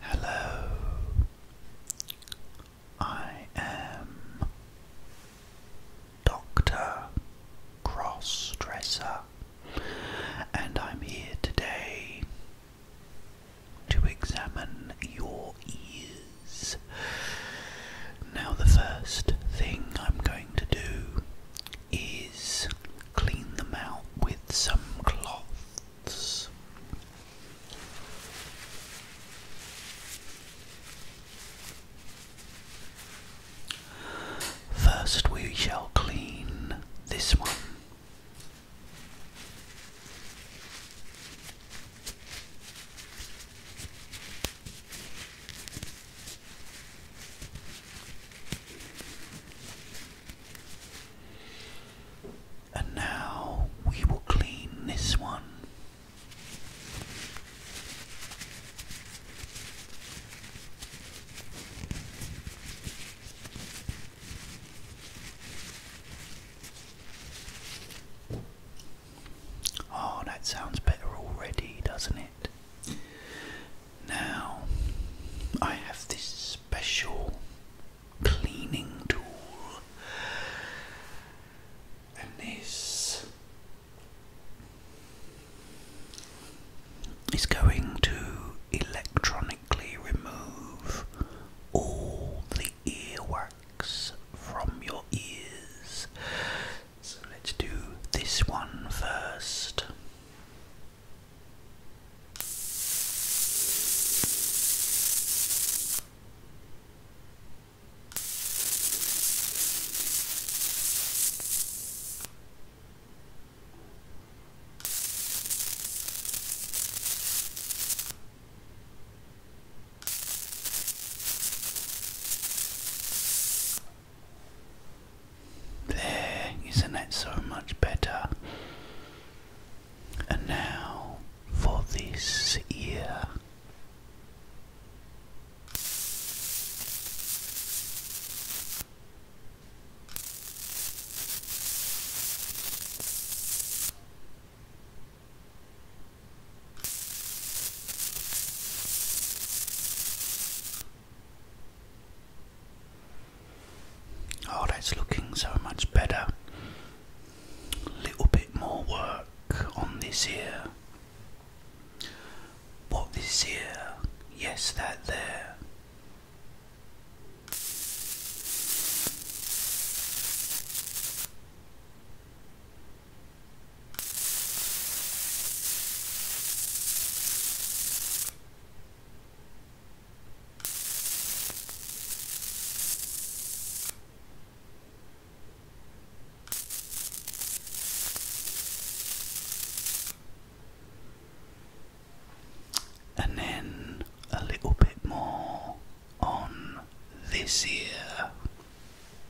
Hello, I am Dr. Crossdresser, and I'm here today to examine your ears. Now, the first thing I'm going to do is clean them out with some cloths. First, we shall clean this one. And now we will clean this one. Oh, that sounds better already, doesn't it? Now, I have this special cleaning tool, and this is going to electronically remove all the earwax from your ears so let's do this one first. There, isn't that so much better? And now for this ear. Oh, that's looking so much better. Little bit more work on this here. What this here? Yes, that there. And then a little bit more on this ear.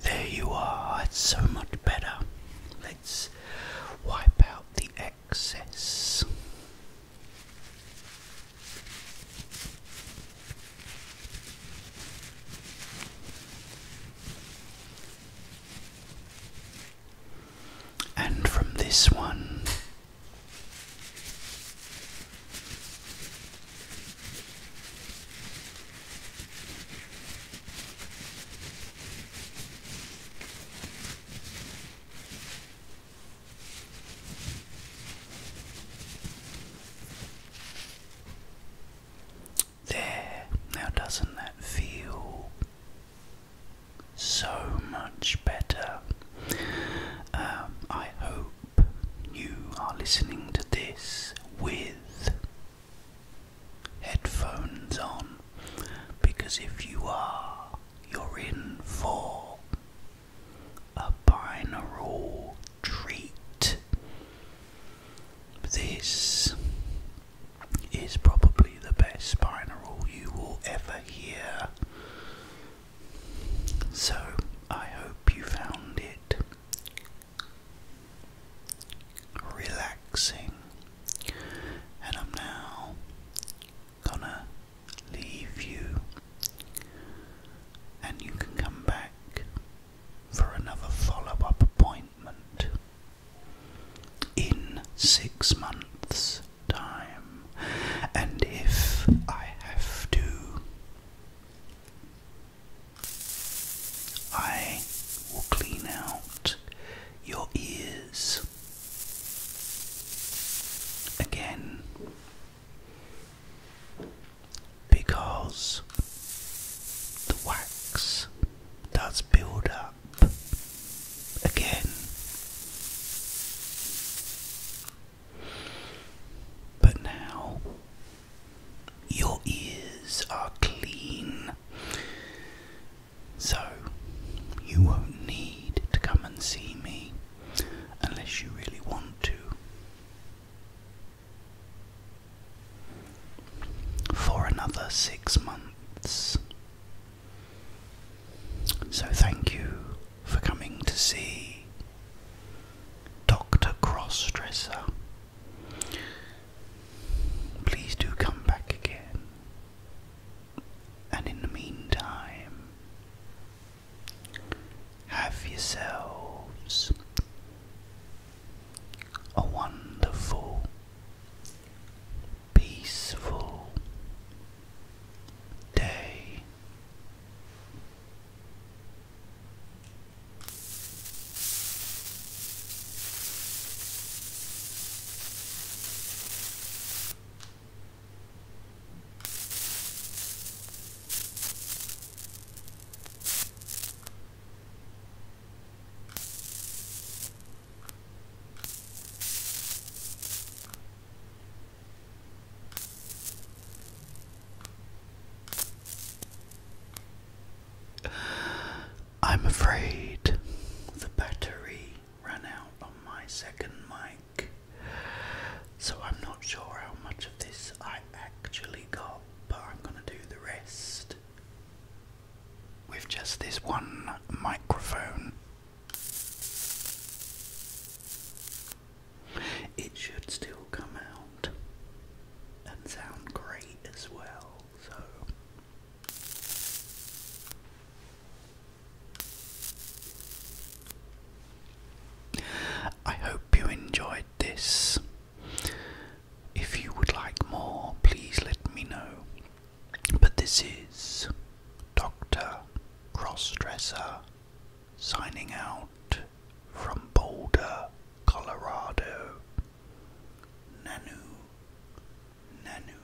There you are, it's so much better. Let's wipe out the excess. And from this one, there, now doesn't that feel so much better? Um, I hope you are listening to this with headphones on because if you are, you're in for a binaural treat. This is probably the best binaural you will ever hear. So, I hope you found it relaxing, and I'm now gonna leave you, and you can come back for another follow up appointment in six months time, and if I have to, I will clean out your ears again because the wax does build up again. But now your ears are clean, so you won't need to come and see me unless you really want to. For another six months, so thank you for coming to see Dr. Crossdresser. Please do come back again. And in the meantime, have yourselves a wonderful peaceful day. I'm afraid the battery ran out on my second mic, so I'm not sure how much of this I actually got, but I'm going to do the rest with just this one microphone. It should still come out and sound great as well, so. I hope you enjoyed this if you would like more, please let me know. But this is Dr. Crossdresser signing out from Boulder, Colorado. Nanu, Nanu.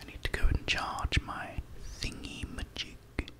I need to go and charge my thingy magic.